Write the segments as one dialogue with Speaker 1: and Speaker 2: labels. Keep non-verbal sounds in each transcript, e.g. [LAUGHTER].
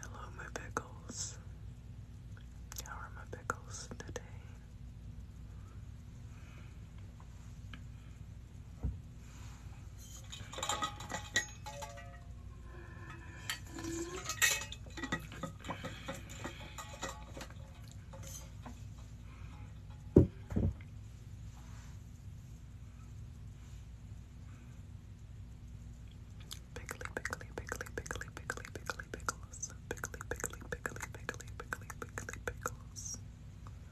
Speaker 1: Hello, my pickles. How are my pickles today? Pickly, pickly, pickly, pickly, pickly, pickly, pickles. Pickly, pickly, pickly, pickly, pickly, pickly, pickles.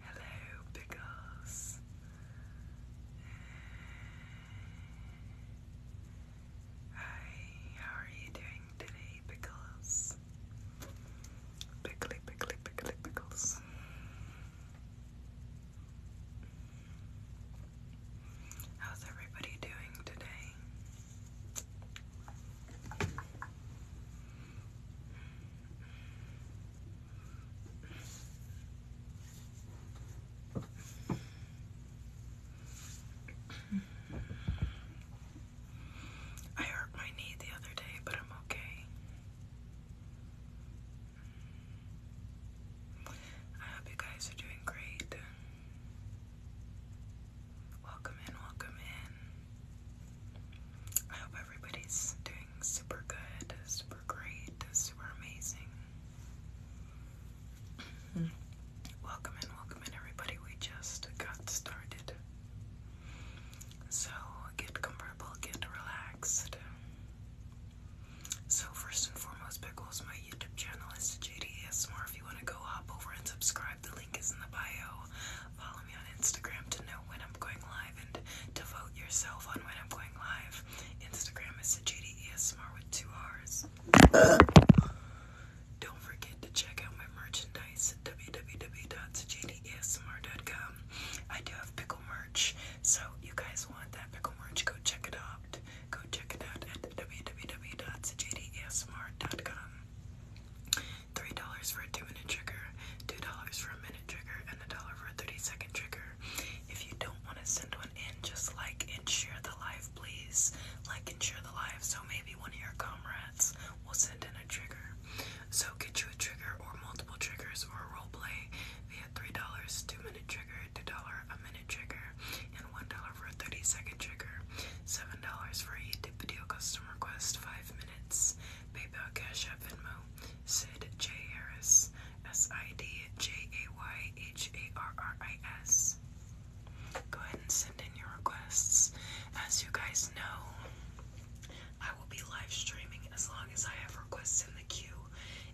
Speaker 1: Hello, Pickles. Hi, how are you doing today, Pickles? Pickly, pickly, pickly, pickles. How's everybody doing today? I hurt my knee the other day, but I'm okay. I hope you guys are doing great. Welcome in, welcome in. I hope everybody's doing super good, super great, super amazing. [CLEARS THROAT] welcome in, welcome in, everybody. We just got started. So get comfortable, get relaxed. So first and foremost, Pickles, my YouTube channel is JDASMR. If you want to go hop over and subscribe, the link is in the bio me on Instagram to know when I'm going live and to yourself on when I'm going live. Instagram is Sajidi with two R's. [COUGHS] Don't forget to check out my merchandise at www.sajidiasmr.com. I do have pickle merch, so you guys want that pickle merch, go check it out. Go check it out at www.sajidiasmr.com. $3 for a two minute trigger, $2 for a trigger and a dollar for a 30 second trigger. If you don't want to send one in, just like and share the live, please. Like and share the live so maybe one of your comrades will send in a trigger. So get you a trigger or multiple triggers or a role play via $3, 2 minute trigger, $2, a minute trigger, and $1 for a 30 second trigger. $7 for a video custom request, 5 minutes. PayPal, Cash App, Venmo, Sid J. Harris, S I D J A Y H A R R I S. Go ahead and send in your requests. As you guys know, I will be live streaming as long as I have requests in the queue.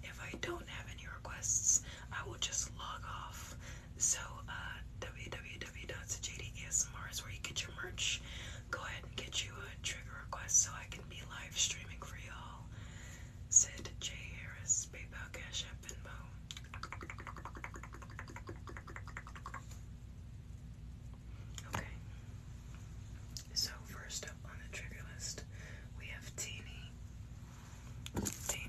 Speaker 1: If I don't have any requests, I will just log off. So, uh, www.jdsmr is where you get your merch. Go ahead and get you a trigger request so I can be live streaming for y'all. Sid J. Harris, PayPal, Cash App, Venmo. Okay. So first up on the trigger list, we have Teeny. Teeny.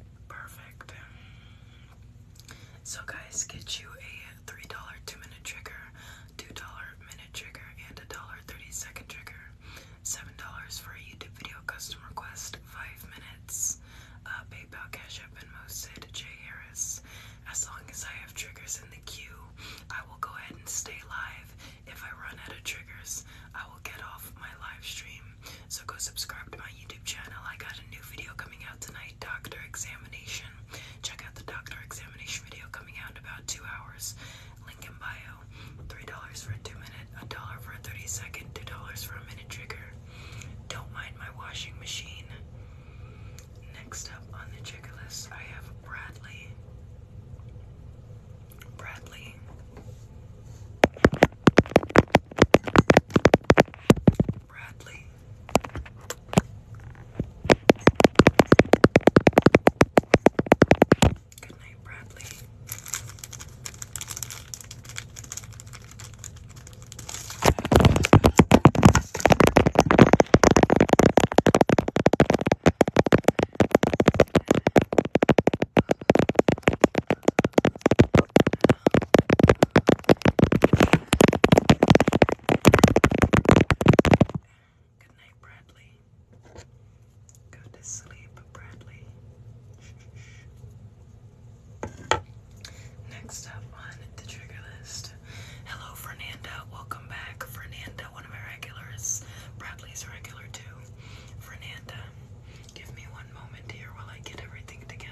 Speaker 1: Perfect. So, guys, get you a $3 two minute trigger, $2 minute trigger, and a $1.30 second trigger. $7 for a YouTube video custom request, 5 minutes. Uh, PayPal, Cash App, and Mosid, J. Harris. As long as I have triggers in the queue, I will go ahead and stay live. If I run out of triggers, I will get off my live stream. So go subscribe to my YouTube channel. I got a new video coming out tonight, Doctor Examination. Check out the Doctor Examination video coming out in about two hours. Link in bio. Three dollars for a two-minute, a dollar for a thirty-second, two dollars for a minute trigger. Don't mind my washing machine. Next up on the checklist, I have Bradley. Bradley. Bradley. Good night, Bradley. Good night, Bradley. Go to sleep, Bradley. Next up on the trigger list. Hello, Fernanda. Welcome back. Fernanda, one of my regulars. Bradley's regular too. Fernanda, Give me one moment here while I get everything together.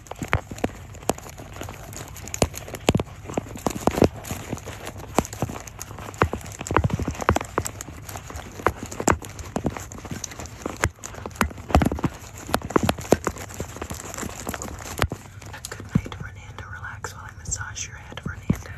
Speaker 1: Good night, Renanda. Relax while I massage your head, Renanda.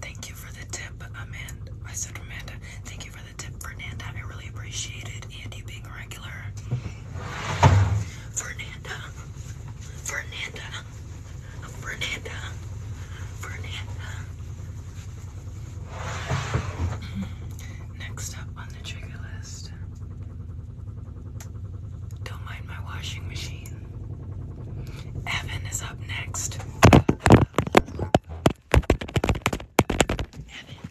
Speaker 1: Thank you for the tip, Amanda. I said Amanda. Thank you for tip, Fernanda. I really appreciate it. And you being a regular. Fernanda. Fernanda. Fernanda. Fernanda. Hmm. Next up on the trigger list. Don't mind my washing machine. Evan is up next. Evan.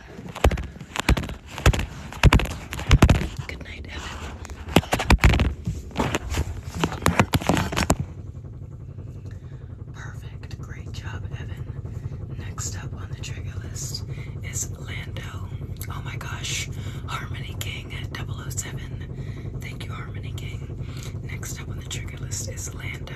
Speaker 1: Good night, Evan. Perfect. Great job, Evan. Next up on the trigger list is Lando. Oh my gosh. Harmony King 007. Thank you, Harmony King. Next up on the trigger list is Lando.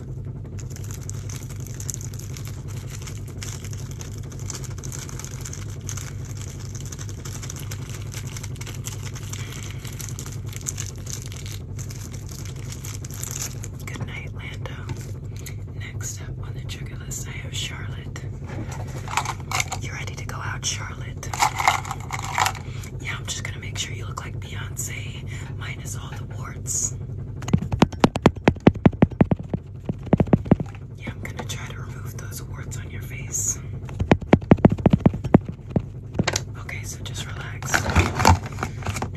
Speaker 1: Good night, Lando. Next up on the trigger list, I have Charlotte. You ready to go out, Charlotte? Yeah, I'm just gonna make sure you look like Beyonce minus all the warts. Yeah, I'm gonna try to remove those warts on your face. Okay, so just relax.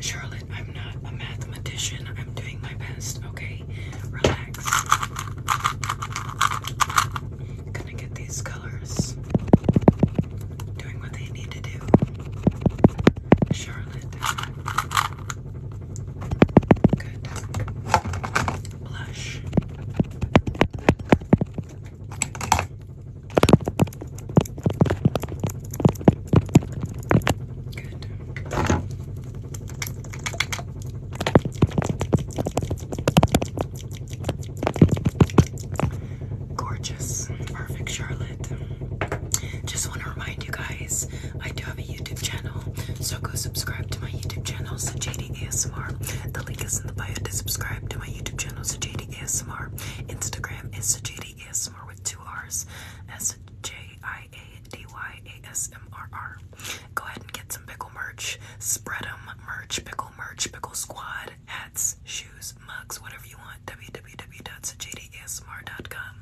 Speaker 1: Charlotte, I'm not a mathematician. I'm doing my best, okay? Relax. gonna get these colors doing what they need to do. Charlotte Good. Blush. Good. Gorgeous, perfect Charlotte. Just want to remind you guys, I do have a YouTube channel, so go subscribe to my YouTube channel, Sajadi ASMR. The link is in the bio to subscribe to my YouTube channel, so J.D.A.S.M.R. Instagram is J.D.A.S.M.R. with two R's, S J I A D Y A S M R R. Go ahead and get some pickle merch, spread them, merch, pickle merch, pickle squad, hats, shoes, mugs, whatever you want. www.sajadiasmr.com.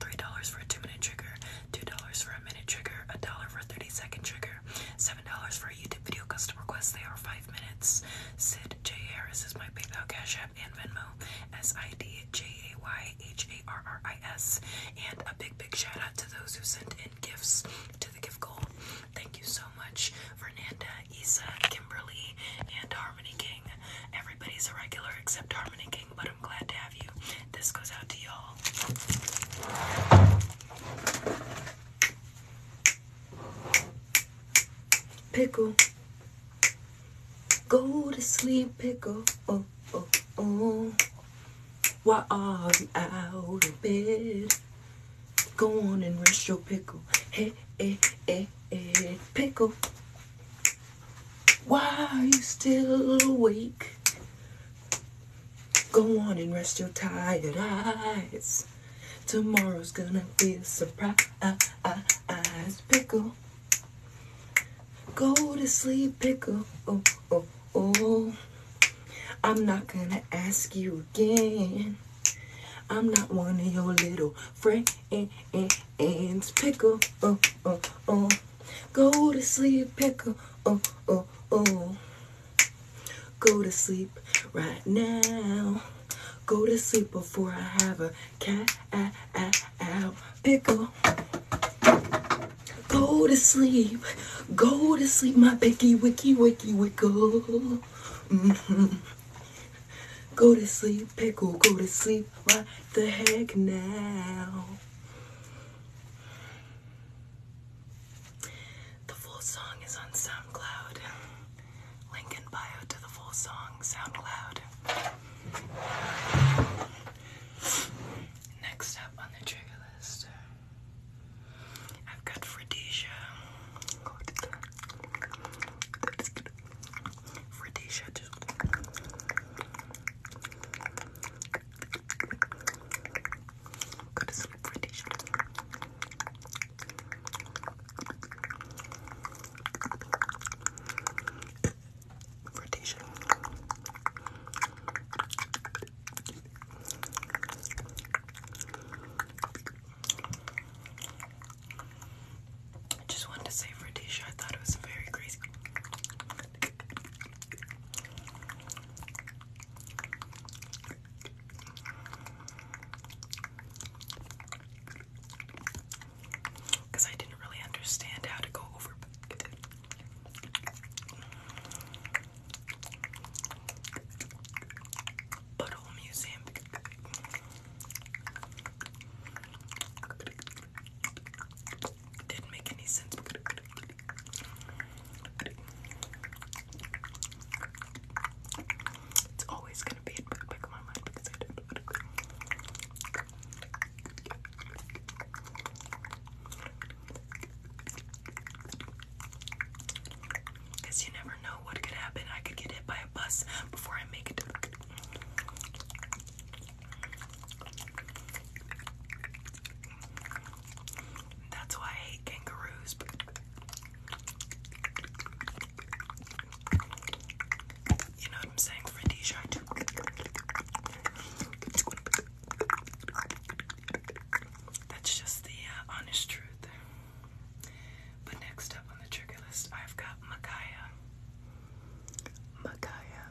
Speaker 1: $3 for a two minute trigger. $2 for a minute trigger, $1 for a 30 second trigger, $7 for a YouTube video custom request. They are 5 minutes. Sid J. Harris is my PayPal, Cash App, and Venmo. S I D J A Y H A R R I S. And a big, big shout out to those who sent in gifts to the gift goal. Thank you so much, Fernanda, Isa, Kimberly, and Harmony King. Everybody's a regular except Harmony King, but this goes out to y'all. Pickle. Go to sleep, pickle. Oh, oh, oh. Why are you out of bed? Go on and rest your pickle. Hey, hey, eh, eh, hey, eh, hey, pickle. Why are you still awake? Go on and rest your tired eyes. Tomorrow's gonna be a surprise. Pickle. Go to sleep, pickle. Oh, oh, oh. I'm not gonna ask you again. I'm not one of your little friends, pickle. Oh, oh, oh. Go to sleep, pickle. Oh, oh, oh. Go to sleep right now. Go to sleep before I have a cat ow, ow, pickle. Go to sleep. Go to sleep, my picky wicky wicky wickle. Mm-hmm. Go to sleep, pickle. Go to sleep. What the heck now? The full song is on SoundCloud. Link in bio to the full song, SoundCloud. Next up on the trigger list, I've got Fredesia. Fredesia, Go to sleep for t I just wanted to say for I thought it was very crazy. Because I didn't really understand how to go over. Butthole Museum. Didn't make any sense. It's always gonna be in my mind because I don't. Because you never know what could happen. I could get hit by a bus before I make it. That's why I hate kangaroos. You know what I'm saying? For That's just the uh, honest truth. But next up on the trigger list, I've got Makaya. Makaya.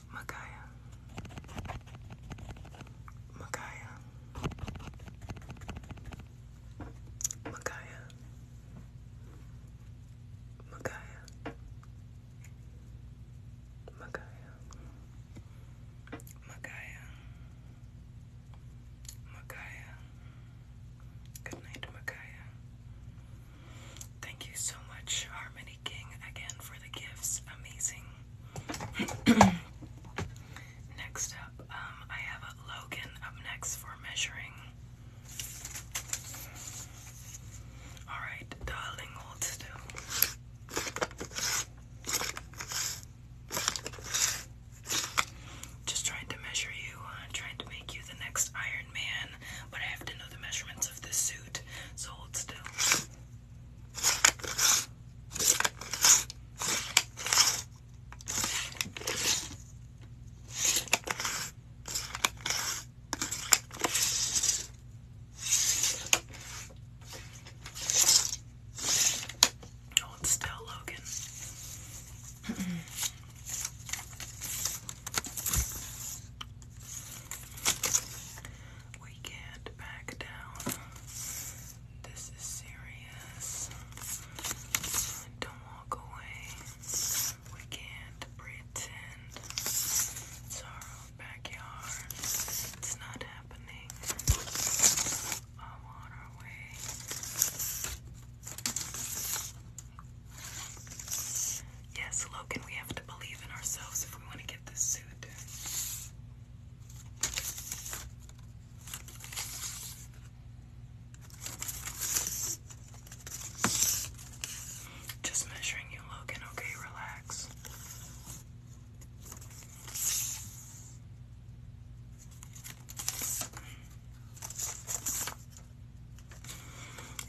Speaker 1: Makaya. Makaya. Makaya. Makaya. Makaya. Makaya. Makaya. Good night, Makaya. Thank you so much, Harmony King, again for the gifts. Amazing. [CLEARS THROAT] next up, um, I have Logan up next for measuring. Alright, darling, hold Just trying to measure you, uh, trying to make you the next Iron Man, but I have to know the measurements of this so hold still. Hold still, Logan. [CLEARS THROAT] We can't back down. This is serious. Don't walk away. We can't pretend. It's our backyard. It's not happening. I'm on our way. Yes, Logan, we have to believe in ourselves if we want to get this suit. Just measuring you, Logan, okay? Relax.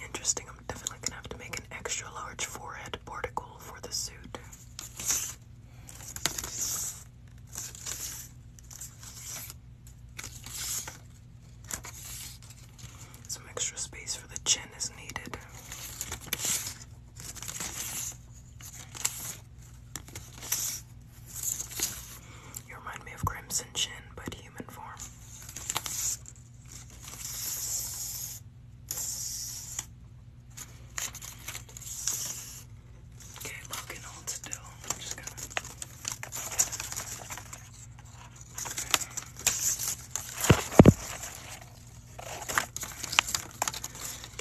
Speaker 1: Interesting. I'm definitely gonna have to make an extra large forehead particle for the suit. Some extra space for the chin is needed. You remind me of Crimson Chin, but human form. Okay, Logan, hold still. I'm just gonna. Okay.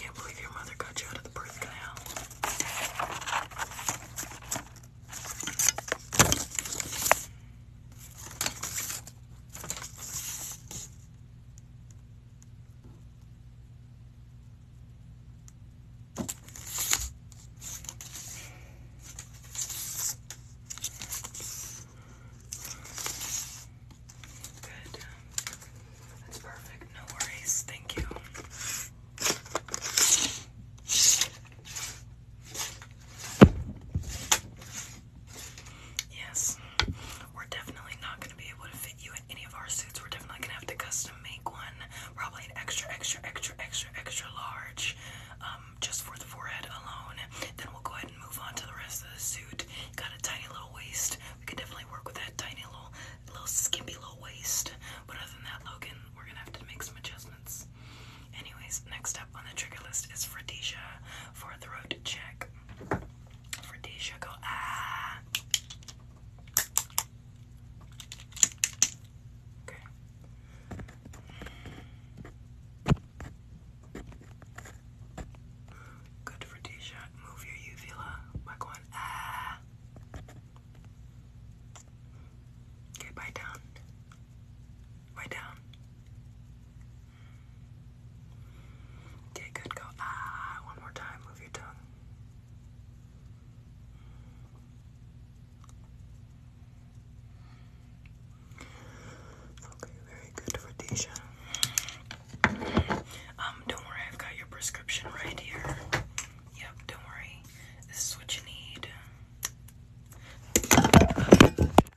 Speaker 1: Can't believe your mother got you out of the birth canal. Good. That's perfect. No worries. Thank you. Yes, we're definitely not going to be able to fit you in any of our suits. We're definitely going to have to custom make one, probably an extra, extra, extra, extra, extra large, um, just for the forehead alone. Then we'll go ahead and move on to the rest of the suit. Got a tiny little waist. We can definitely work with that tiny little, little skimpy little waist. But other than that, Logan, we're going to have to make some adjustments. Anyways, next up on the trigger list is Fredesia for a throat check. Fredesia, go ah. Okay. Good for Move your uvula by going ah. Okay, bite down. Bite down. Okay, good. Go. Ah, one more time. Move your tongue. Okay, very good, Radisha. Um, don't worry, I've got your prescription right here. Yep, don't worry. This is what you need.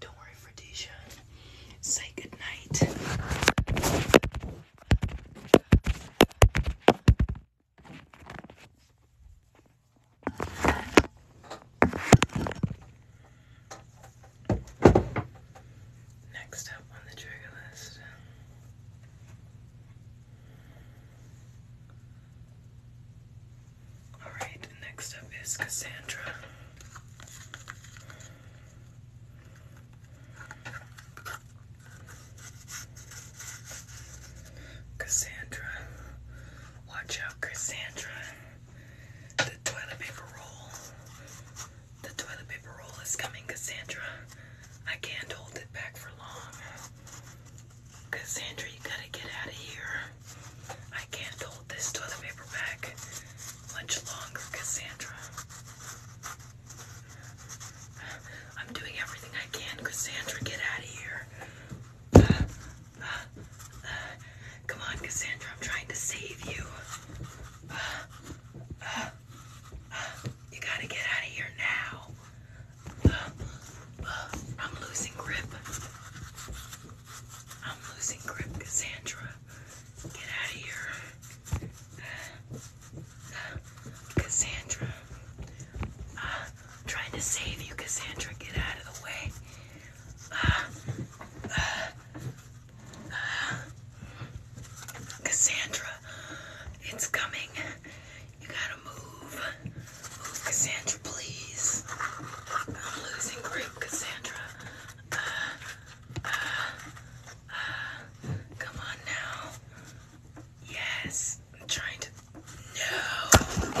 Speaker 1: Don't worry, Fredisha. Say good night. Next up on the trigger list. Alright, next up is Cassandra. Cassandra. Watch out, Cassandra. The toilet paper roll the toilet paper roll is coming, Cassandra. I can't hold it back for long. Cassandra, you gotta get out of here. I can't hold this toilet paper back much longer, Cassandra. I'm doing everything I can, Cassandra. Get out of here. come on, Cassandra. I'm trying to save you. You gotta get out of here now. I'm losing grip. I'm losing grip, Cassandra. Get out of here. Cassandra. Uh, trying to save you, Cassandra. Get out of the way. Cassandra. It's coming. You gotta move. Cassandra, please. I'm losing grip, Cassandra. Uh, uh, uh, come on now. Yes. I'm trying to. No.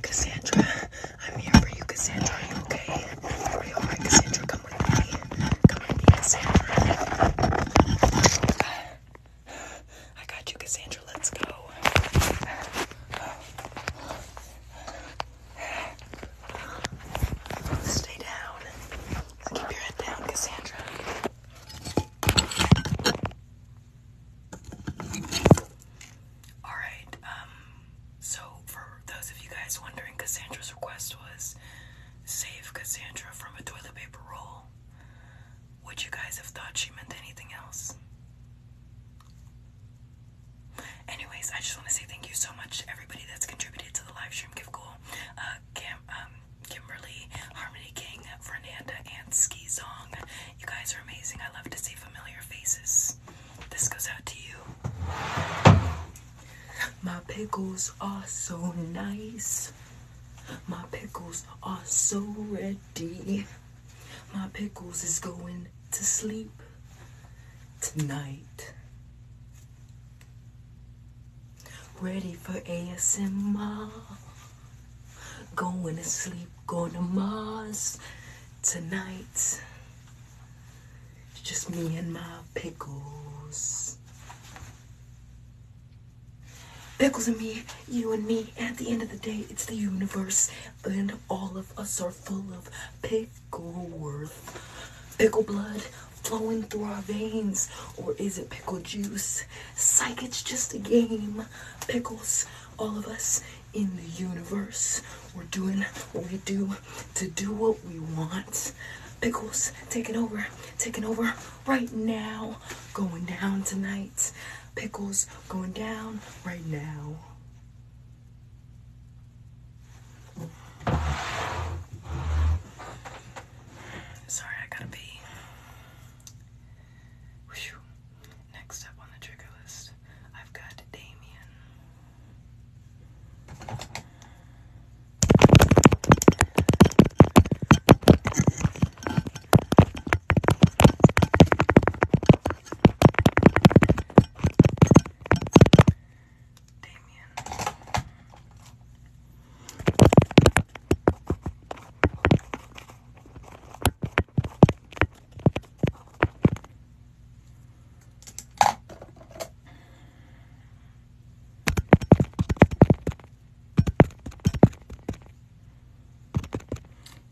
Speaker 1: Cassandra, I'm here for you, Cassandra. Are you okay? Are you alright, Cassandra? Come with me. Come with me, Cassandra. I got you, Cassandra. Let's go. Stay down keep your head down, Cassandra. Alright, um, so for those of you guys wondering, Cassandra's request was save Cassandra from a toilet paper roll. Would you guys have thought she meant anything else? Anyways, I just want to say thank you so much to everybody that's contributed to the live stream give goal. Uh, um, Kimberly, Harmony King, Fernanda, and Ski You guys are amazing. I love to see familiar faces. This goes out to you. My pickles are so nice. My pickles are so ready. My pickles is going to sleep tonight ready for ASMR. Going to sleep, going to Mars tonight. It's just me and my pickles. Pickles and me, you and me, at the end of the day, it's the universe, and all of us are full of pickle worth. Pickle blood, flowing through our veins? Or is it pickle juice? Psych, it's just a game. Pickles, all of us in the universe. We're doing what we do to do what we want. Pickles taking over, taking over right now. Going down tonight. Pickles going down right now. Sorry, I gotta be. Next up on the trigger list, I've got Damien. Damien.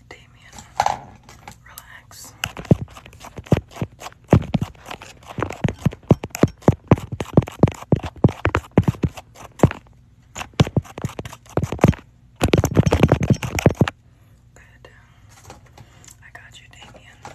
Speaker 1: Damien, relax. Good. I got you, Damien.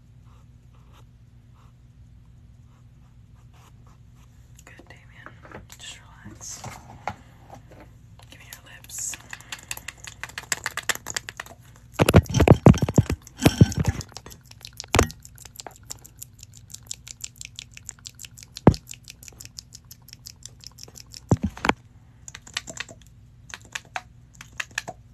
Speaker 1: Good, Damien. Just relax. Give me your lips.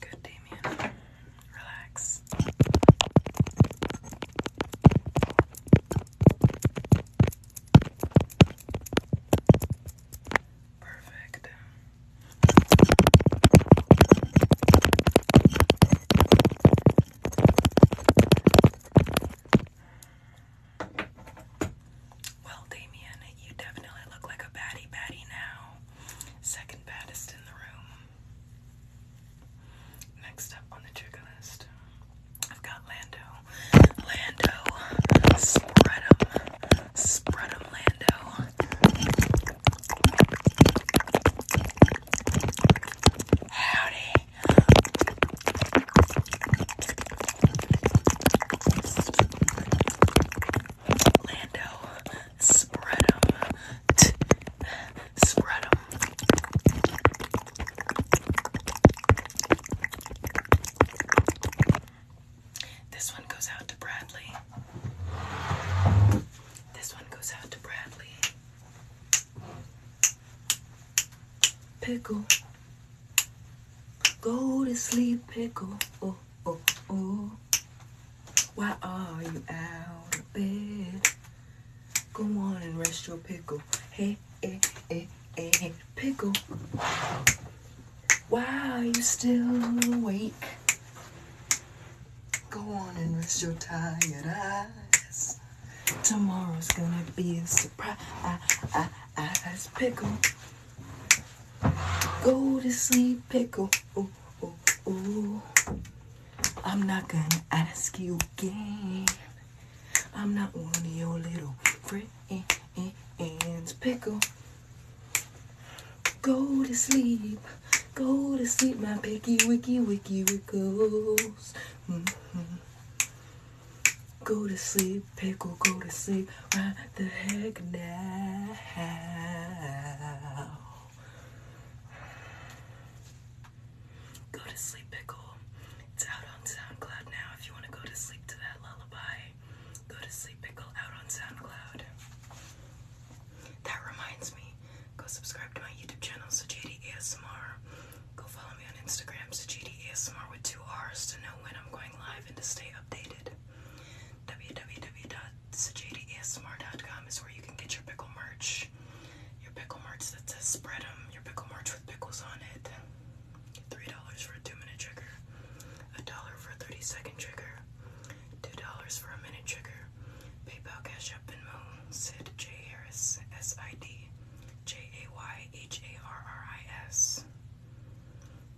Speaker 1: Good, Damien. Relax. Perfect. Well, Damien, you definitely look like a baddie baddie now. Second baddest in the room. Next up on the trigger list, I've got Lando. Lando. Spread 'em. Spread 'em, Lando. Howdy. Lando, spread them. This one goes out to Bradley. This one goes out to Bradley. Pickle. Go to sleep, pickle. Oh, oh, oh. Why are you out of bed? Go on and rest your pickle. Hey, hey, hey, hey, pickle. Why are you still awake? Go on and rest your tired eyes. Tomorrow's gonna be a surprise. Eyes pickle. Go to sleep, pickle. Ooh, ooh, ooh. I'm not gonna ask you again. I'm not one of your little friends, pickle. Go to sleep. Go to sleep, my picky wicky wicky wickles. Mm-hmm. Go to sleep, pickle, go to sleep. Why the heck now? Go to sleep, pickle. It's out on SoundCloud now if you want to go to sleep to that lullaby. Go to sleep, pickle, out on SoundCloud. That reminds me, go subscribe to my YouTube channel, Sajidi ASMR. Go follow me on Instagram, Sajidi ASMR with two R's to know when I'm going live and to stay updated. www.sajadiasmr.com is where you can get your pickle merch. Your pickle merch that says spread them, your pickle merch with pickles on it. $3 for a 2 minute trigger, a dollar for a 30 second trigger, $2 for a minute trigger, PayPal, Cash App, Venmo, Sid J. Harris, S I D J A Y H A R R I S.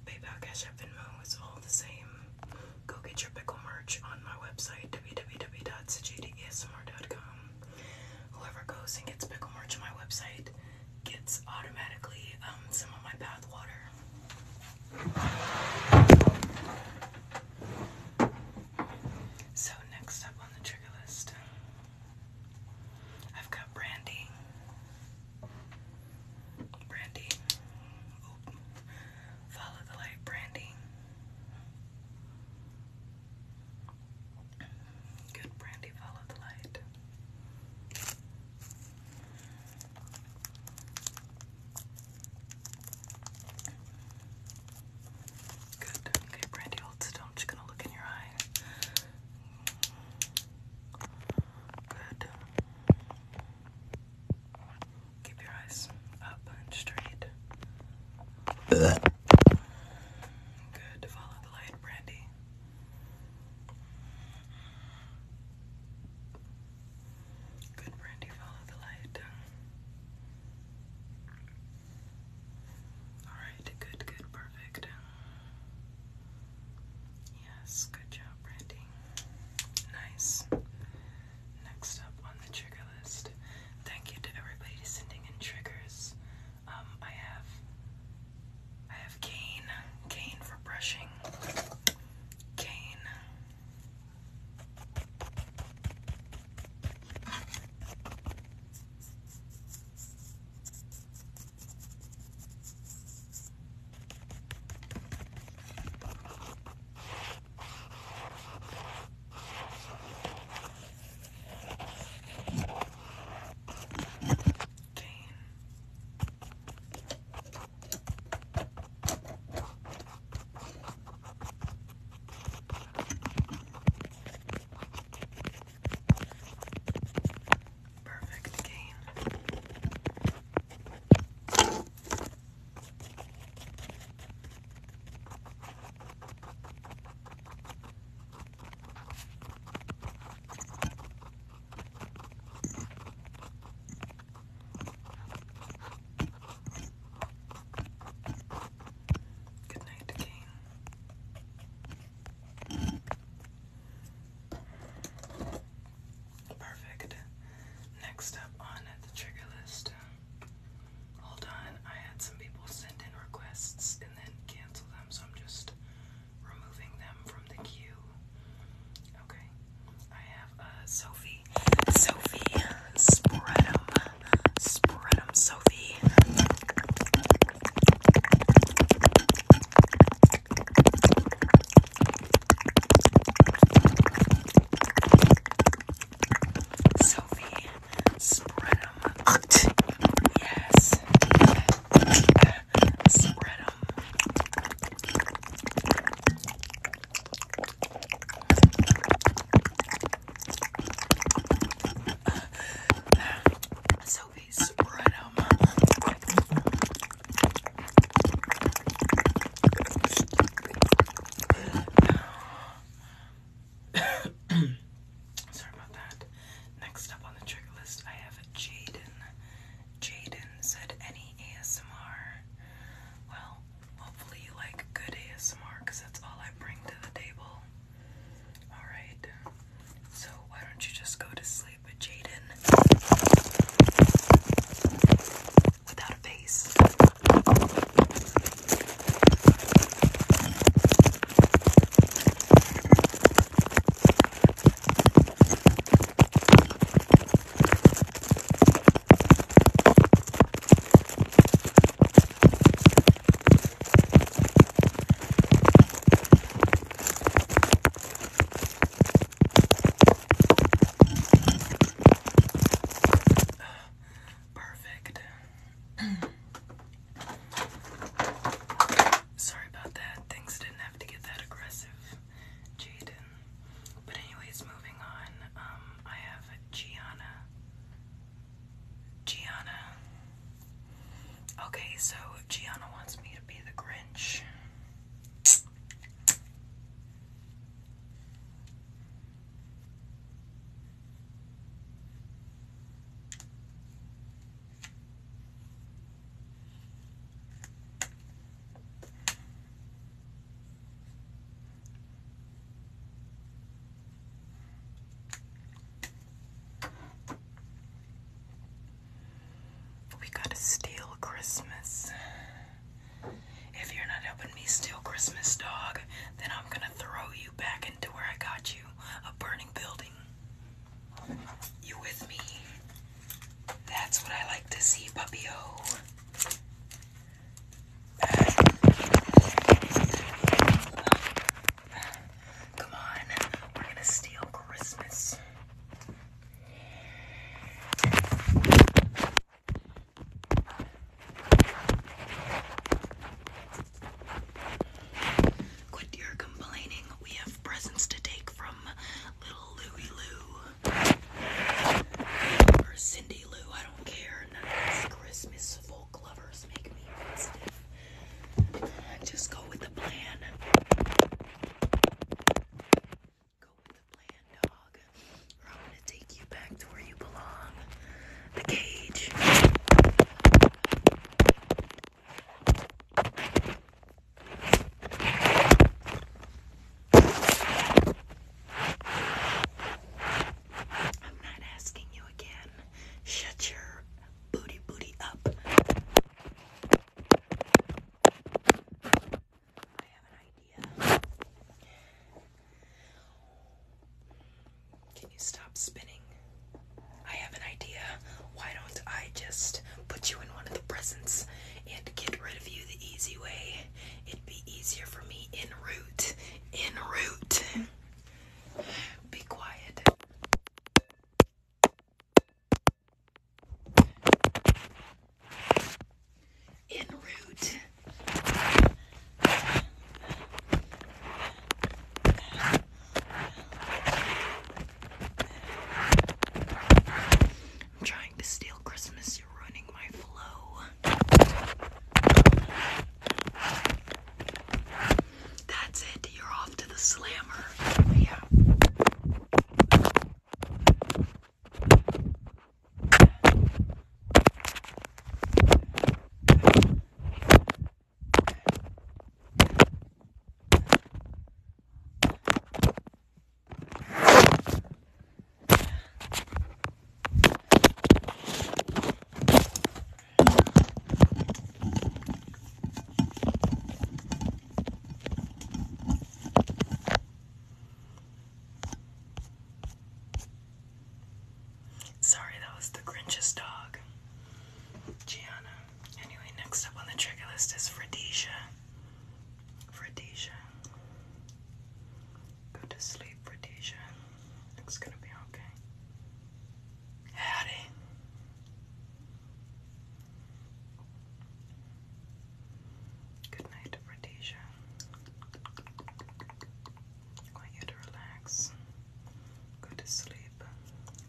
Speaker 1: PayPal, Cash App, Venmo is all the same. Go get your pickle merch on my website, www.sajdesmr.com. Whoever goes and gets pickle merch on my website gets automatically um, some of my bath water. So, next up on the trigger list, I've got Brandy. Brandy. Follow the light, Brandy. Good Brandy, follow the light. Good. Okay, Brandy, hold I'm just gonna look in your eye. Good. Keep your eyes up and straight. Good. Follow the light, Brandy. Good, Brandy. Follow the light. Alright, good, good, perfect. Yes, good job, Brandy. Nice. Next up on the trigger list. Thank you to everybody sending in triggers. Um, I have I have cane, cane for brushing, cane, Dang. Perfect game. Good night, King. Perfect. Next up on the trigger list. Hold on, I had some people send in requests and then cancel them, so I'm just removing them from the queue. Okay, I have uh, Sophie Sophie, Sophie, spread 'em, spread 'em, Sophie. Sophie, spread 'em. Yes. Spread 'em. Sophie's right Sorry about that. Next up on the trigger list, I have Jaden. Jaden said, Any ASMR? Well, hopefully you like good ASMR because that's all I bring to the table. Alright, so why don't you just go to sleep with Jaden without a face? Perfect. [CLEARS THROAT] Sorry about that. Things didn't have to get that aggressive, Jaden. But anyways, moving on. Um, I have Gianna. Gianna. Okay, so Gianna wants me to be the Grinch. We gotta steal Christmas. If you're not helping me steal Christmas, dog, then I'm gonna throw you back into where I got you a burning building. You with me? That's what I like to see, puppy-o. Come on, we're gonna steal Christmas. Quit your complaining. We have presents to take from little Louie Lou. Or Cindy Lou, I don't care. None of this Christmas just go with the plan. Go with the plan, dog. Or I'm gonna take you back to where you belong. The cage. I'm not asking you again. Shut your booty booty up. I have an idea. Can you stop spinning? I have an idea. Why don't I just put you in one of the presents and get rid of you the easy way? It'd be easier for me en route in route. Be quiet. En route. I'm trying to steal Christmas. You're ruining my flow. That's it. You're off to the slammer. Yeah. Sorry, that was the Grinch's dog. Gianna. Anyway, next up on the trigger list is Rhodesia. Rhodesia. Go to sleep, Rhodesia. It's gonna be okay. Howdy. Good night, Rhodesia. want you to relax, go sleep,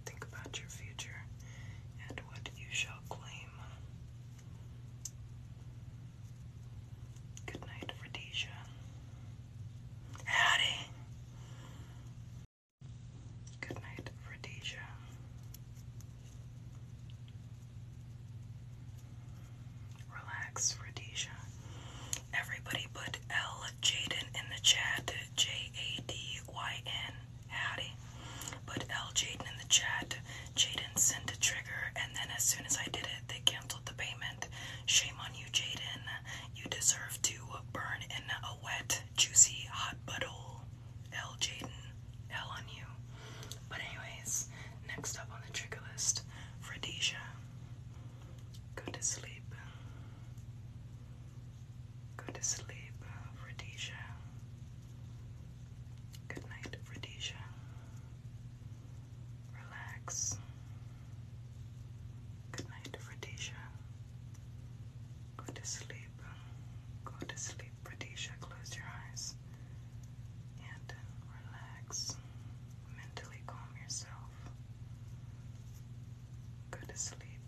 Speaker 1: think about your future and what you shall claim. Good night, Rhodesia. Howdy. Good night, Rhodesia. Relax, Rhodesia. Everybody put L Jaden in the chat. J A D Y N. Howdy. Put L Jaden in the chat. Jaden sent a trigger, and then as soon as I did it, they canceled the payment. Shame on you, Jaden. You deserve to burn in a wet, juicy, hot puddle. L, Jaden. L on you. But, anyways, next up on the trigger list, Rhodesia. Go to sleep. Go to sleep, Rhodesia. Good night, Rhodesia. Relax. Good night, Radisha. Go to sleep. Go to sleep, Radisha. Close your eyes and relax. Mentally calm yourself. Go to sleep.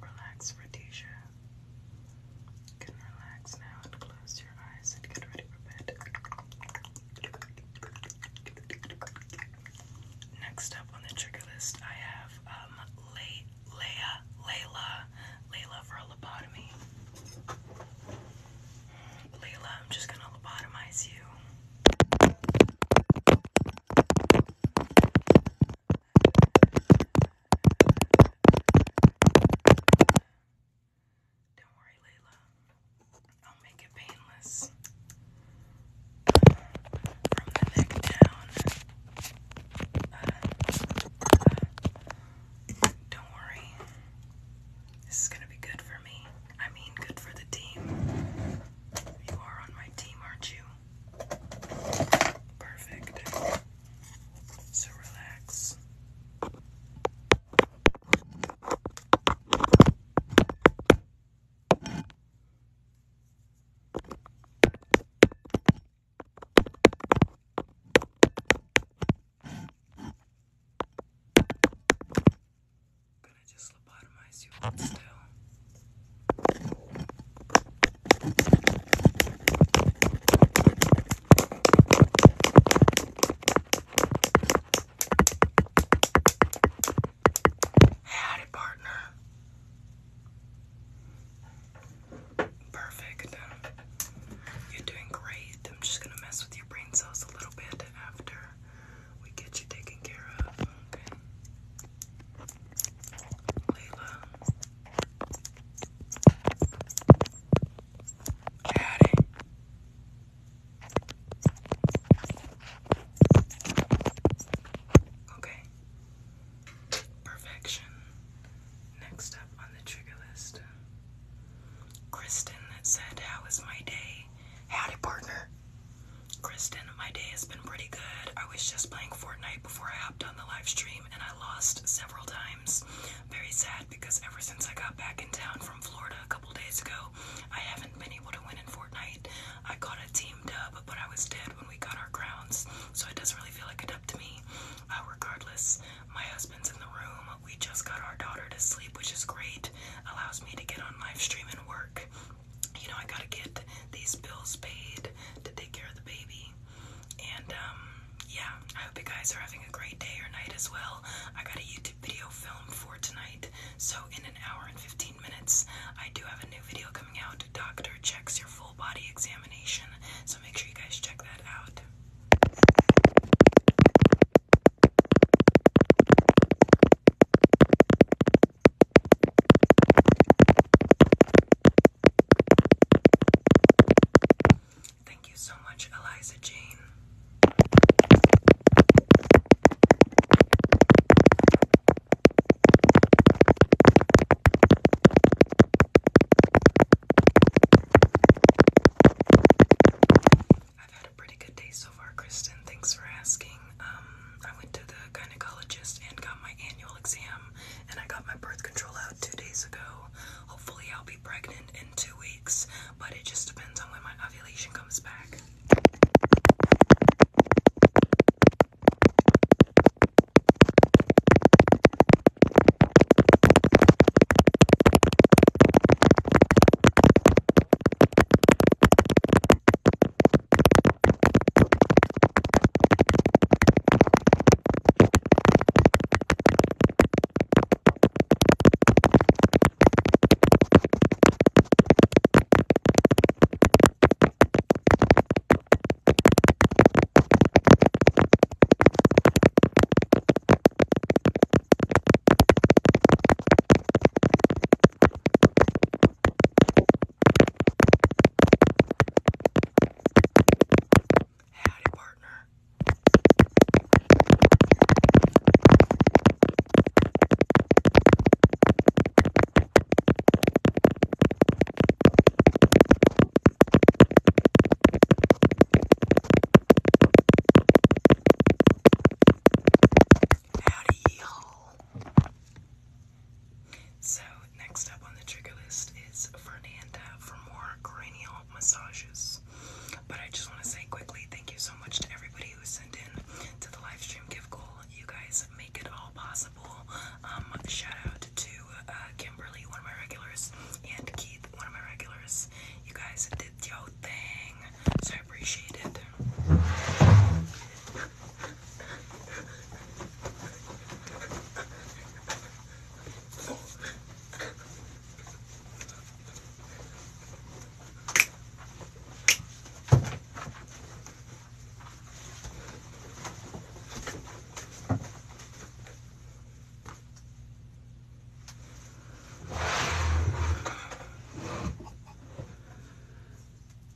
Speaker 1: Relax, Radisha. You can relax now and close Next up on the trigger list, I have um, Layla, Layla for a lobotomy. Layla, I'm just gonna lobotomize you. Don't worry, Layla. I'll make it painless. From the neck down. don't worry. This is gonna be good for me. I mean, good for the team. You are on my team, aren't you? Perfect. So relax. Gonna just lobotomize you all still. Howdy, partner. Perfect. You're doing great. I'm just gonna mess with your brain cells a little bit after we get you taken care of. Okay. Layla. Howdy. Okay. Perfection. Next up on the trigger list. Kristen said, How is my day? Howdy, partner. Kristen, my day has been pretty good. I was just playing Fortnite before I hopped on the live stream and I lost several times. Very sad because ever since I got back in town from Florida a couple days ago, I haven't been able to win in Fortnite. I got a team dub, but I was dead when we got our crowns, so it doesn't really feel like a dub to me. Uh, regardless, my husband's in the room. We just got our daughter to sleep, which is great. Allows me to get on live stream and work. You know, I gotta get these bills paid to take care of the baby. And, um, yeah, I hope you guys are having a great day or night as well. I got a video film for tonight. So, in an hour and 15 minutes, I do have a new video coming out. Doctor checks your full body examination. So, make sure you guys check that out. Thank you so much, Eliza Jane. I've had a pretty good day so far, Kristen. Thanks for asking. Um, I went to the gynecologist and got my annual exam, and I got my birth control out two days ago. Hopefully, I'll be pregnant in two weeks but it just depends on when my ovulation comes back. Howdy, partner. Howdy, So, next up on the trigger list is Fernanda for more cranial massages. But I just want to say quickly thank you so much to everybody you send in to the live stream gift goal. You guys make it all possible. Um, shout out to uh, Kimberly, one of my regulars, and Keith, one of my regulars. You guys did your thing, so I appreciate it.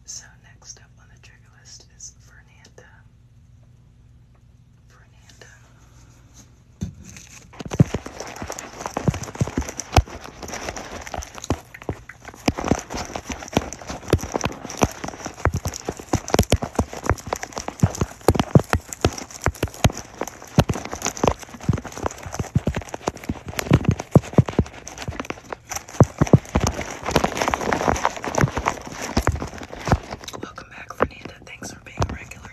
Speaker 1: So next up on the trigger list is Fernanda. Fernanda. Welcome back, Fernanda. Thanks for being a regular.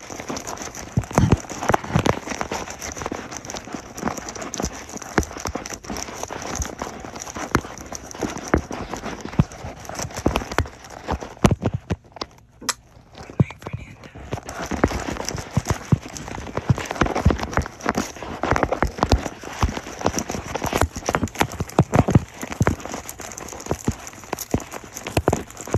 Speaker 1: Good night, Fernanda.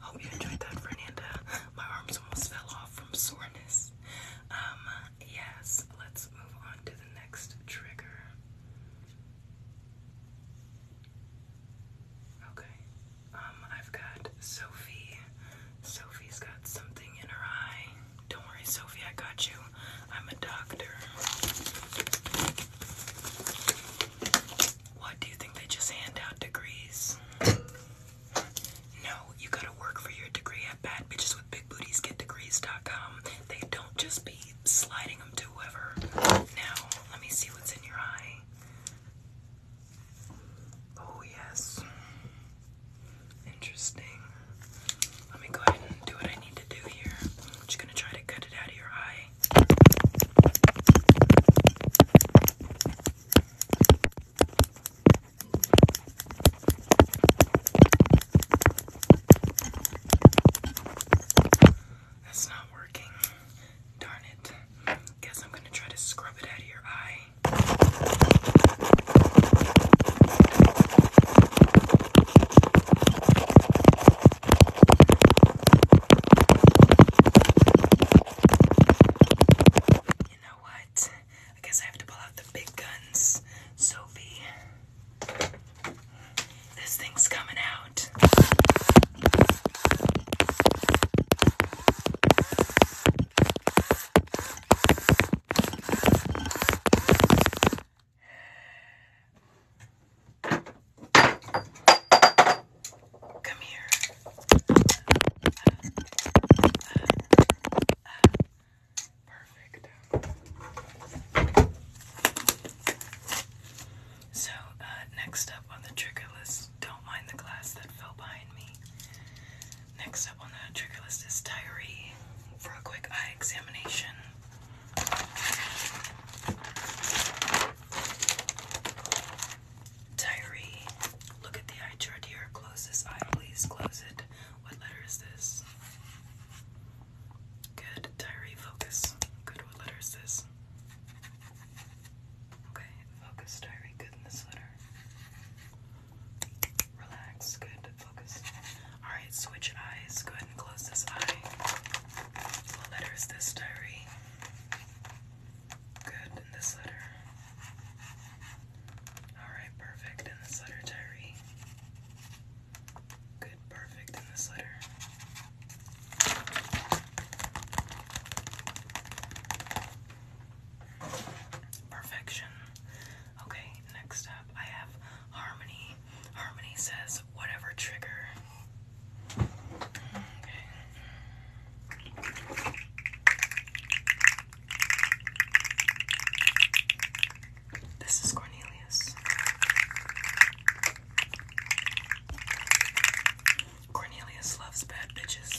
Speaker 1: Hope you enjoyed that, Fernanda. My arms almost fell off from soreness. Um, yes, let's move on to the next trigger. Okay. Um, I've got Sophie. Sophie's got something in her eye. Don't worry, Sophie, I got you. I'm a doctor. What do you think they just hand out degrees? No, you gotta work for your degree at Bad Bitches with Big Booties Get They don't just be sliding them to whoever. Now, let me see what's in your eye. Oh, yes. Interesting. Let me go ahead and do what I need to do here. just gonna try to cut it out of your eye. That's not working. Darn it. Guess I'm going to try to scrub it out of your eye. You know what? I guess I have to pull out the big guns, Sophie. This thing's coming out. Come here. Perfect. So, uh, next up on the trigger list, don't mind the glass that fell behind me. Next up on the trigger list is Tyree for a quick eye examination. Tyree, look at the eye chart here. Close this eye, please. Close it. What letter is this? Good. diary. focus. Good. What letter is this? Okay, focus, Tyree. Good this letter. Relax. Good. Focus. Alright, switch eyes. Go ahead and close this eye. What letter is this, Tyree? Good in this letter. Alright, perfect in this letter, Tyree. Good, perfect in this letter. Perfection. Okay, next up I have Harmony. Harmony says, whatever trigger this is Cornelius. Cornelius loves bad bitches.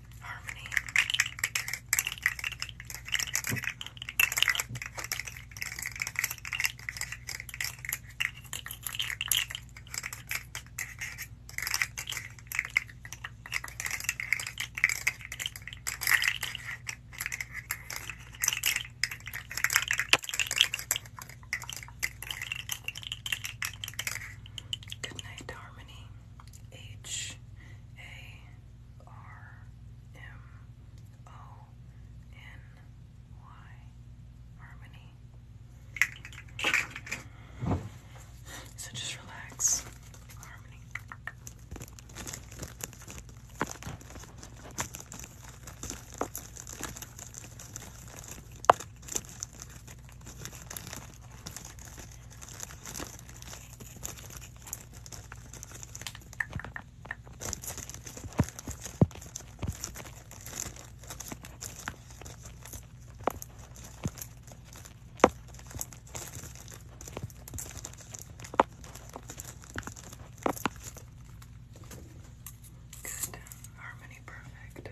Speaker 1: harmony. Good night, Harmony. H A R M O N Y Harmony. So just relax, Good. Harmony perfect.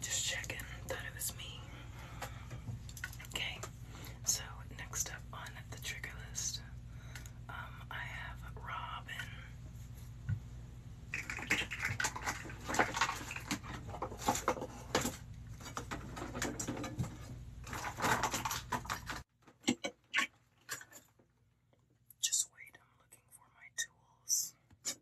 Speaker 1: Just checking. Thought it was me. Okay. So next up on the trigger list, um, I have Robin. Just wait, I'm looking for my tools.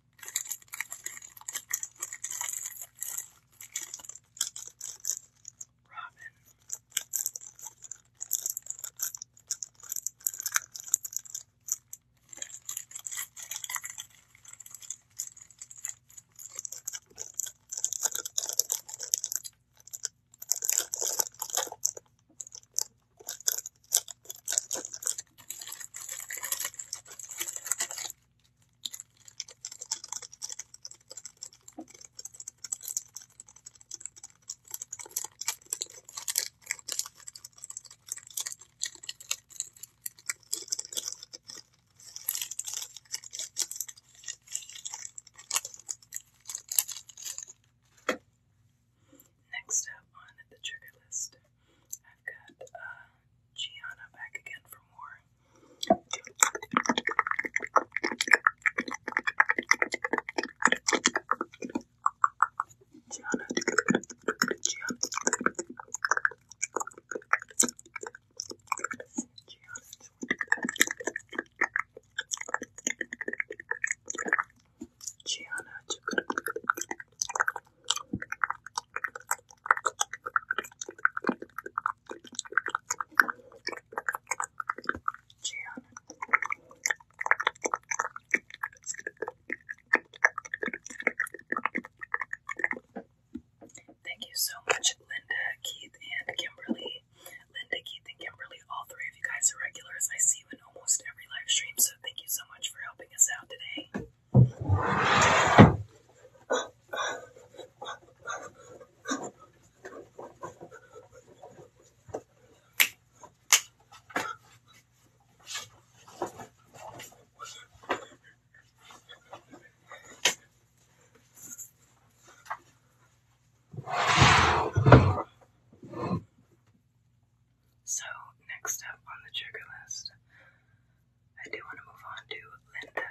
Speaker 1: Robin. Next up on the trigger list, I've got uh, Gianna back again for more. Gianna, Gianna, Gianna, Gianna, Thank you so much, Linda, Keith, and Kimberly. Linda, Keith, and Kimberly, all three of you guys are regulars. I see you in almost every live stream, so thank you so much for helping us out today. So, next up on the trigger list I do want to move on to Linda.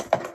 Speaker 1: Linda.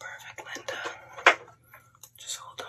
Speaker 1: Perfect, Linda. Just hold on.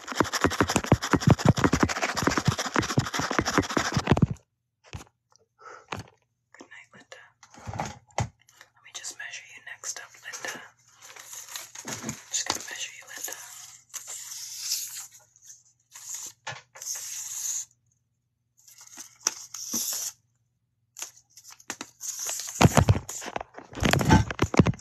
Speaker 1: Good night, Linda. Let me just measure you next up, Linda. I'm just gonna measure you, Linda.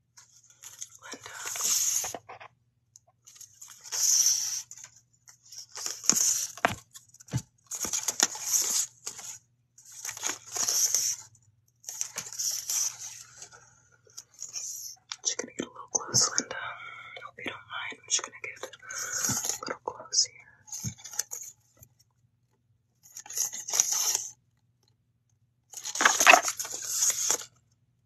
Speaker 1: Linda. i gonna get a little close, Linda. I hope you don't mind. I'm gonna get a little close here.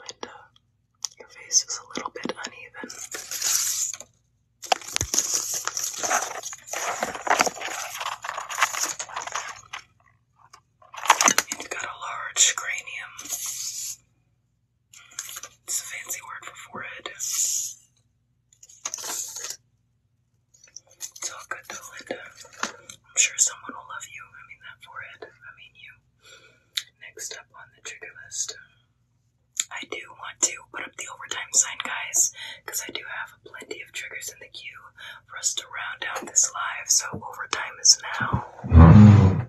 Speaker 1: Linda, your face is a little bit uneven. you've got a large cranium. It's a fancy word for forehead. It's all good though, I'm sure someone will love you. I mean, that forehead. I mean, you. Next up on the trigger list. I do want to put up the overtime sign, guys, because I do have plenty of triggers in the queue for us to round out this live, so overtime is now.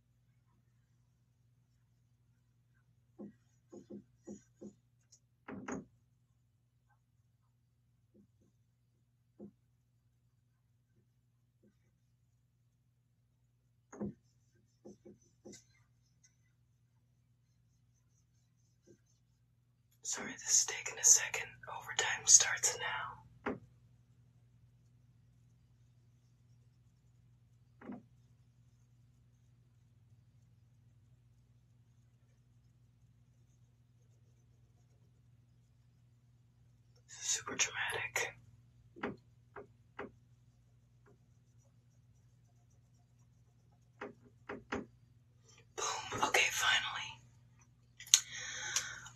Speaker 1: Sorry, this is taking a second. Overtime starts now super dramatic. Boom. Okay, finally.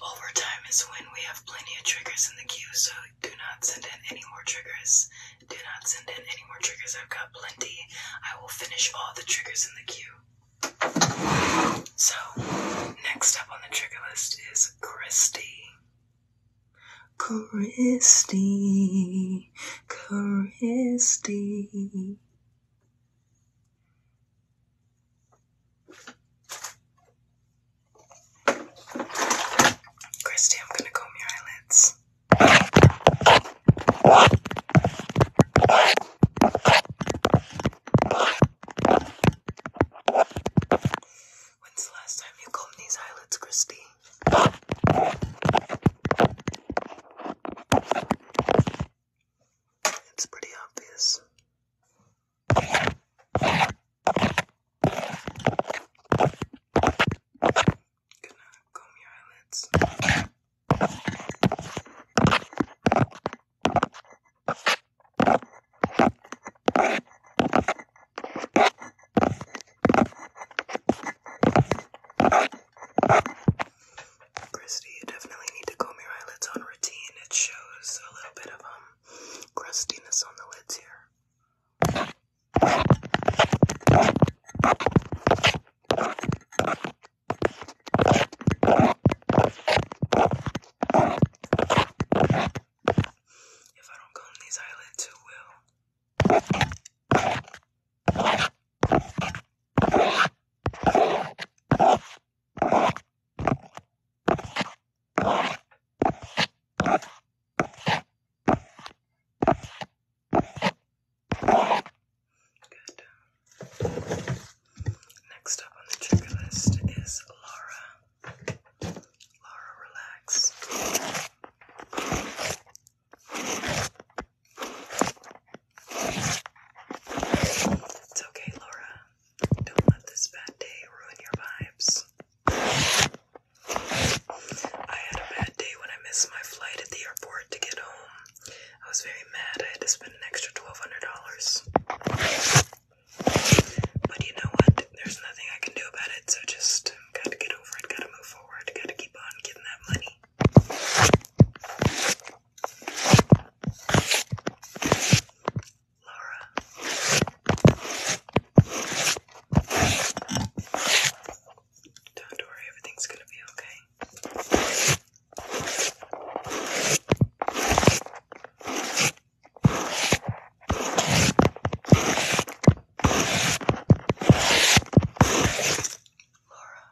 Speaker 1: Overtime is when we have plenty of triggers in the queue, so do not send in any more triggers. Do not send in any more triggers. I've got plenty. I will finish all the triggers in the queue. So, next up on the trigger list is Christy. Christy. Christy. Christy, I'm gonna comb your eyelids. When's the last time you combed these eyelids, Christy? It's pretty obvious. Gonna your eyelids. Christy, you definitely need to comb your eyelids on routine. It shows a little bit of um crustiness on the lids here. If I don't comb these eyelids, who will? Next up on the checklist is Laura. Laura, relax. It's okay, Laura. Don't let this bad day ruin your vibes. I had a bad day when I missed my flight at the airport to get home. I was very mad. I had to spend an extra $1,200. But you know what? There's nothing I can do about it, so just gotta get over it, gotta move forward, gotta keep on getting that money. Laura. Don't worry, everything's gonna be okay. Laura.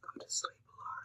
Speaker 1: Go to sleep, Laura.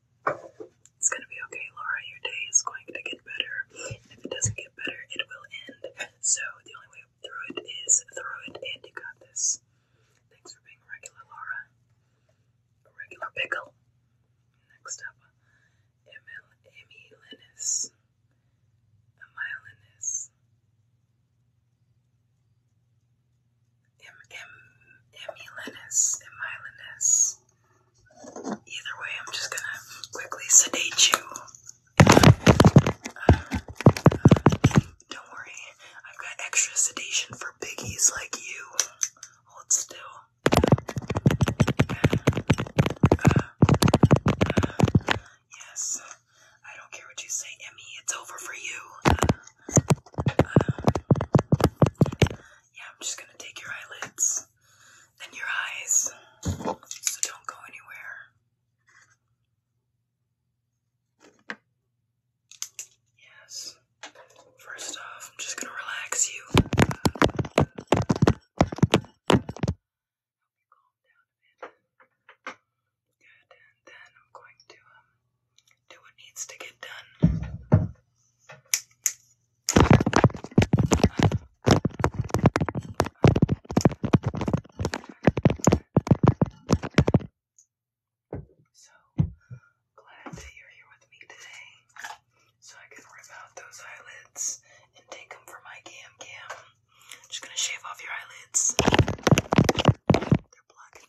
Speaker 1: It's gonna be okay, Laura. Your day is going to get better. if it doesn't get better, it will end. So the only way through it is through it, and you got this. Thanks for being regular, Laura. regular pickle. Next up, Emil Emmy Linus. Im, im, Emilinus, Emilinus. Either way, I'm just gonna quickly sedate you. Uh, don't worry, I've got extra sedation for biggies like you. Hold still. Uh, uh, yes, I don't care what you say, Emmy. It's over for you yeah, I'm just gonna take your eyelids and your eyes, so don't go anywhere. Yes. First off, I'm just gonna relax you. Do what needs to get done. So glad that you're here with me today, so I can rip out those eyelids and take them for my cam cam. just gonna shave off your eyelids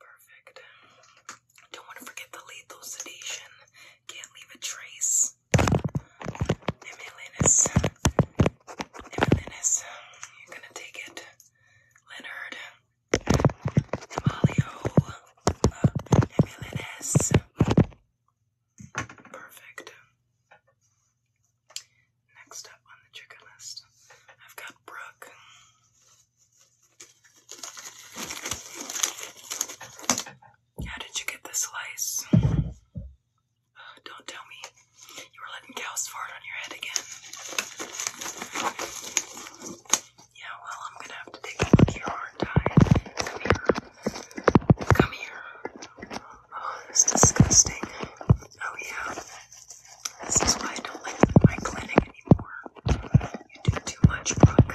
Speaker 1: Perfect. Don't want to forget the lethal sedation. Can't leave a trace. Emilianus. Emilianus. You're gonna take it. Leonard. Emilio. Emilianus. Perfect. Next up on the chicken list, I've got Brooke. How did you get the slice? don't tell me you were letting cows fart on your head again. Yeah, well, I'm gonna have to take a look here, aren't I? Come here. Come here. Oh, it's disgusting. Oh, yeah. This is why I don't like my clinic anymore. You do too much, Brooke.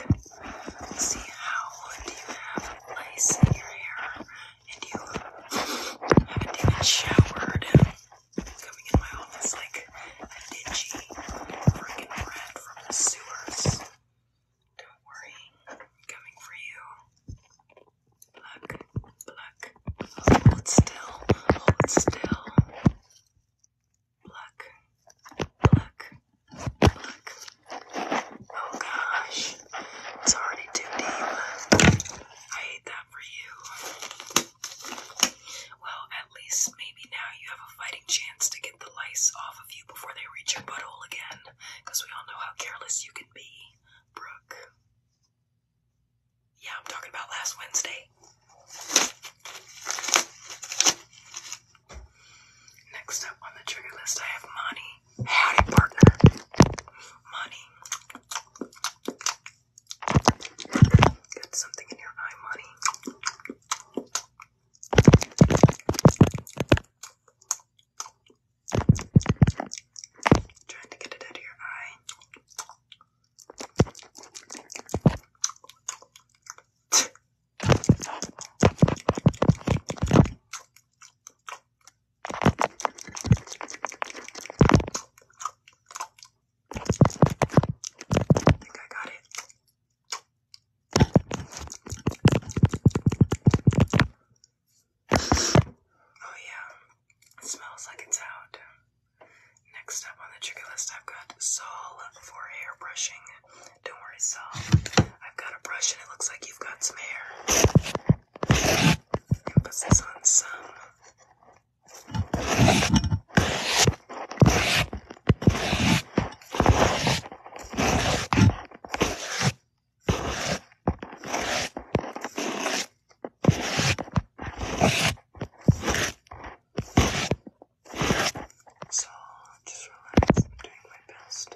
Speaker 1: See how do you have lice in your hair and you haven't even showered. Coming in my office like a dingy freaking rat from the sewers. Don't worry, I'm coming for you. Look, look. Hold still. Hold still. Pluck, pluck, pluck. Oh gosh, it's already too deep. I hate that for you. Well, at least maybe now you have a fighting chance to get the lice off of you before they reach your butthole again, because we all know how careless you can be, Brooke. Yeah, I'm talking about last Wednesday. Next up on the trigger list, I have Monty. Howdy, partner. Monty. Got something in your eye, Monty. Trying to get it out of your eye. I think I got it. Oh, yeah, smells like it's out. Next up on the trigger list, I've got Sol for hair brushing. Don't worry, Sol. I've got a brush and it looks like you've got some hair. i on some. So just relax. I'm doing my best.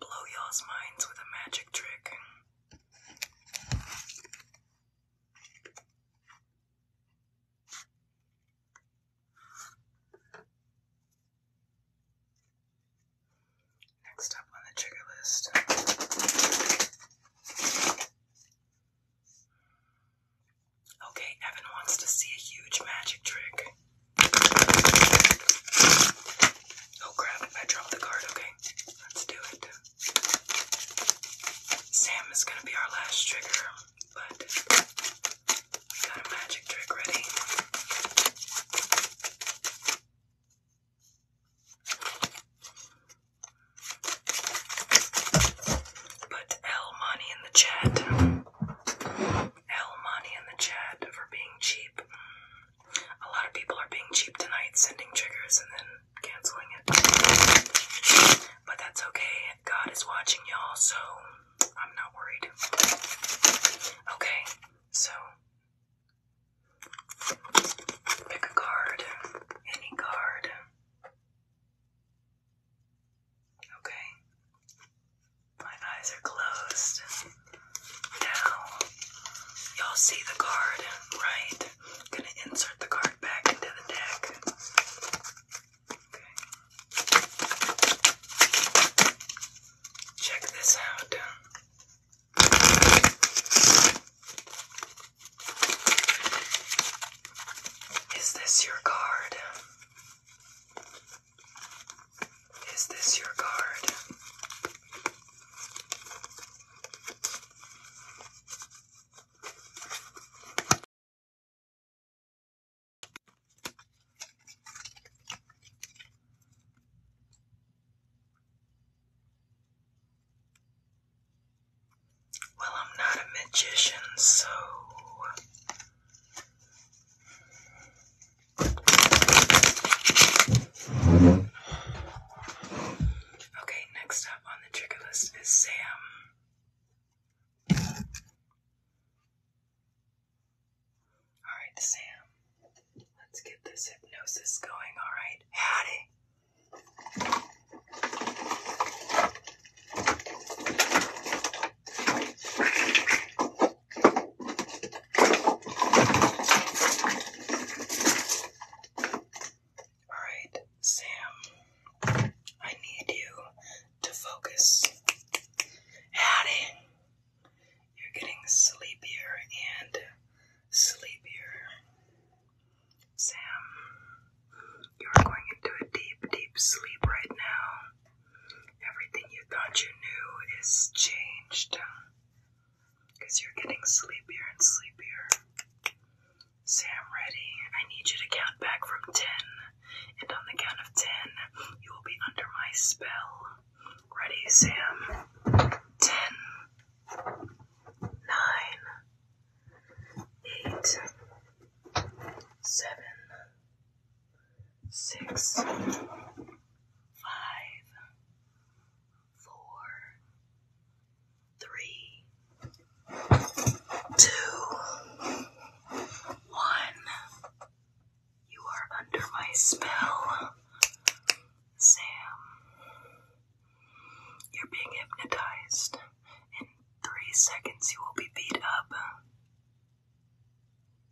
Speaker 1: blow y'all's minds with a magic trick. Next up on the trigger list Okay, Evan wants to see a huge magic trick. Oh crap, I dropped the card, okay. Let's do it. Sam is gonna be our last trigger, but we got a magic trick ready. Put El Money in the chat. El Money in the chat for being cheap. Mm. A lot of people are being cheap tonight, sending triggers and then canceling it. But that's okay. God is watching y'all, so I'm not worried. Okay, so pick a card, any card. Okay. My eyes are closed. Now, y'all see the card, right? gonna insert the card back into the deck. Okay. Check this out. Is this your card? Is this your card? Well, I'm not a magician, so Okay, next up on the trigger list is Sam. Alright, Sam. Let's get this hypnosis going, alright? Howdy. Alright, Sam, I need you to focus. Hattie, you're getting sleepier and sleepier. Sam, you're going into a deep, deep sleep right now. Everything you thought you knew is changed. Because you're getting sleepier and sleepier. Sam, ready. I need you to count back from 10. And on the count of 10, you will be under my spell. Ready, Sam? Ten, nine, eight, seven six, five, four, three, two, one. You are under my spell, Sam. You're being hypnotized. In three seconds, you will be beat up.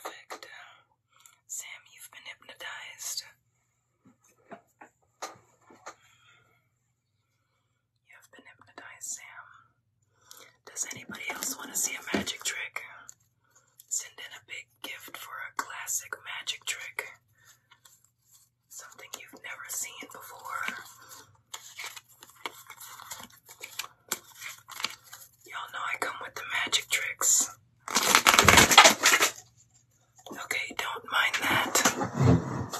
Speaker 1: Perfect. Sam, you've been hypnotized. You have been Sam. Does anybody else want to see a magic trick? Send in a big gift for a classic magic trick. Something you've never seen before. Y'all know I come with the magic tricks. Okay, don't mind that.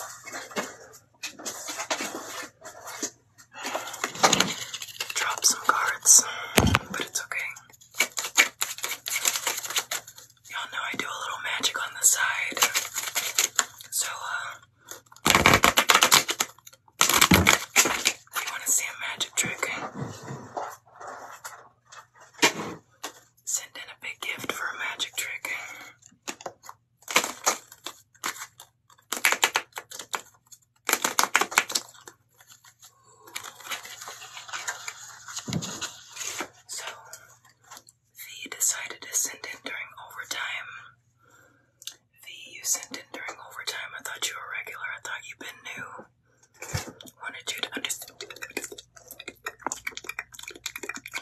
Speaker 1: Drop some cards, but it's okay. Y'all know I do a little magic on the side. So, uh, you want to see a magic trick, send in a big gift for a magic trick. So V decided to send in during overtime. V, you sent in during overtime. I thought you were regular. I thought you had been new. Wanted you to understand.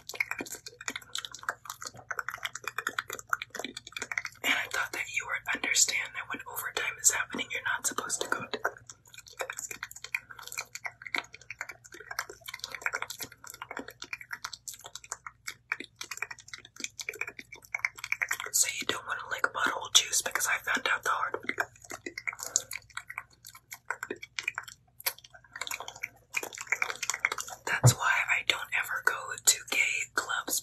Speaker 1: And I thought that you would understand that when overtime is happening, you're not supposed to go to. So you don't want to lick butthole juice because I found out the hard. That's why I don't ever go to gay clubs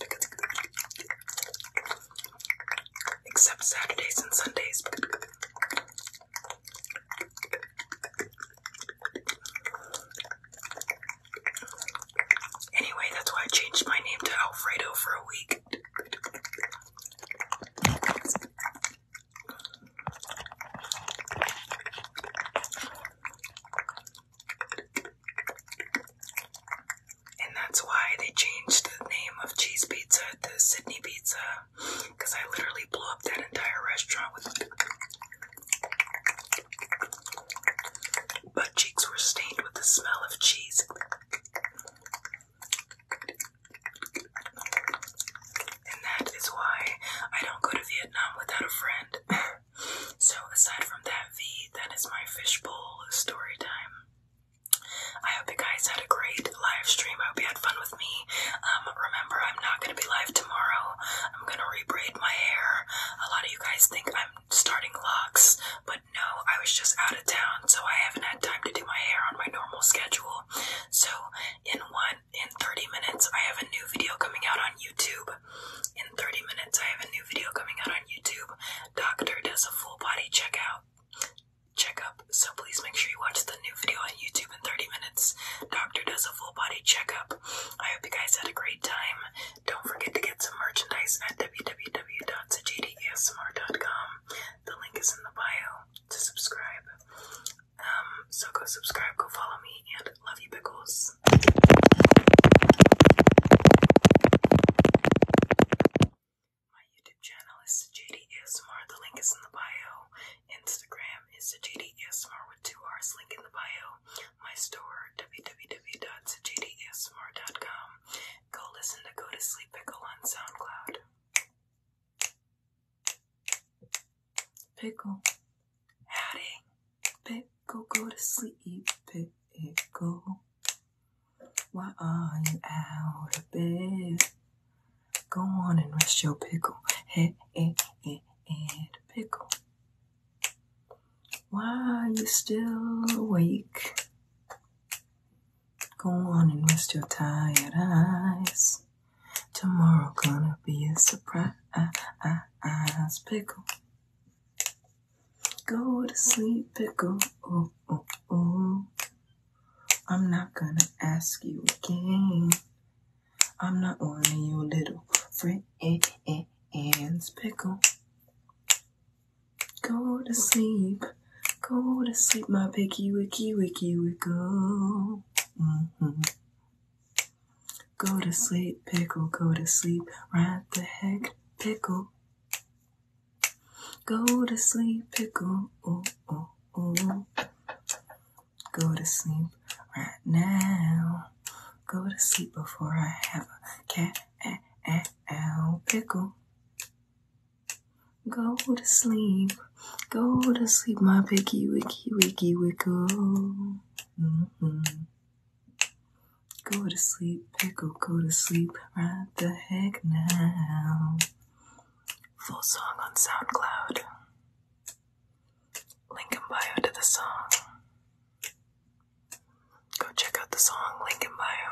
Speaker 1: except Saturdays and Sundays. Anyway, that's why I changed my name to Alfredo for a week. And that's why they changed the name of cheese pizza to Sydney Pizza. Because I literally blew up that entire restaurant with butt cheeks were stained with the smell of cheese. And that is why I don't go to Vietnam without a friend. [LAUGHS] So aside from that V, that is my fishbowl story time. I hope you guys had a great live stream. I hope you had fun with me. Um, remember, I'm not going to be live tomorrow. I'm going to re-braid my hair. A lot of you guys think I'm starting locks, but no, I was just out of town, so I haven't had time to do my hair on my normal schedule. So, in one in 30 minutes I have a new video coming out on YouTube. In 30 minutes I have a new video coming out on YouTube. Doctor does a full body check checkout checkup. So please make sure you watch the new video on YouTube in 30 minutes. Doctor does a full body checkup. I hope you guys had a great time. Don't forget to get some merchandise at www.sajidasmr.com. The link is in the bio to subscribe. Um, so go subscribe, go follow me, and Love you, Pickles. My YouTube channel is Sajidi The link is in the bio. Instagram is Sajidi with two R's. Link in the bio. My store, www.sajidiasmr.com. Go listen to Go to Sleep Pickle on SoundCloud. Pickle. Howdy. Pickle, go to sleep, pickle. Why are you out of bed? Go on and rest your pickle, head, eh, eh, head, head, head, pickle. Why are you still awake? Go on and rest your tired eyes. Tomorrow gonna be a surprise eyes, pickle. Go to sleep, pickle. Ooh, ooh, ooh. I'm not gonna ask you again. I'm not one of your little friends, pickle. Go to sleep, go to sleep, my picky wicky wicky wickle. Mm-hmm. Go to sleep, pickle, go to sleep, right the heck, pickle. Go to sleep, pickle, oh, oh, oh. Go to sleep right now. Go to sleep before I have a cat, a, eh, a, eh, ow, pickle. Go to sleep, go to sleep, my picky, wicky, wicky, wickle. Mm-hmm. Go to sleep, pickle, go to sleep right the heck now. Full song on SoundCloud. Link bio to the song. Go check out the song, link bio.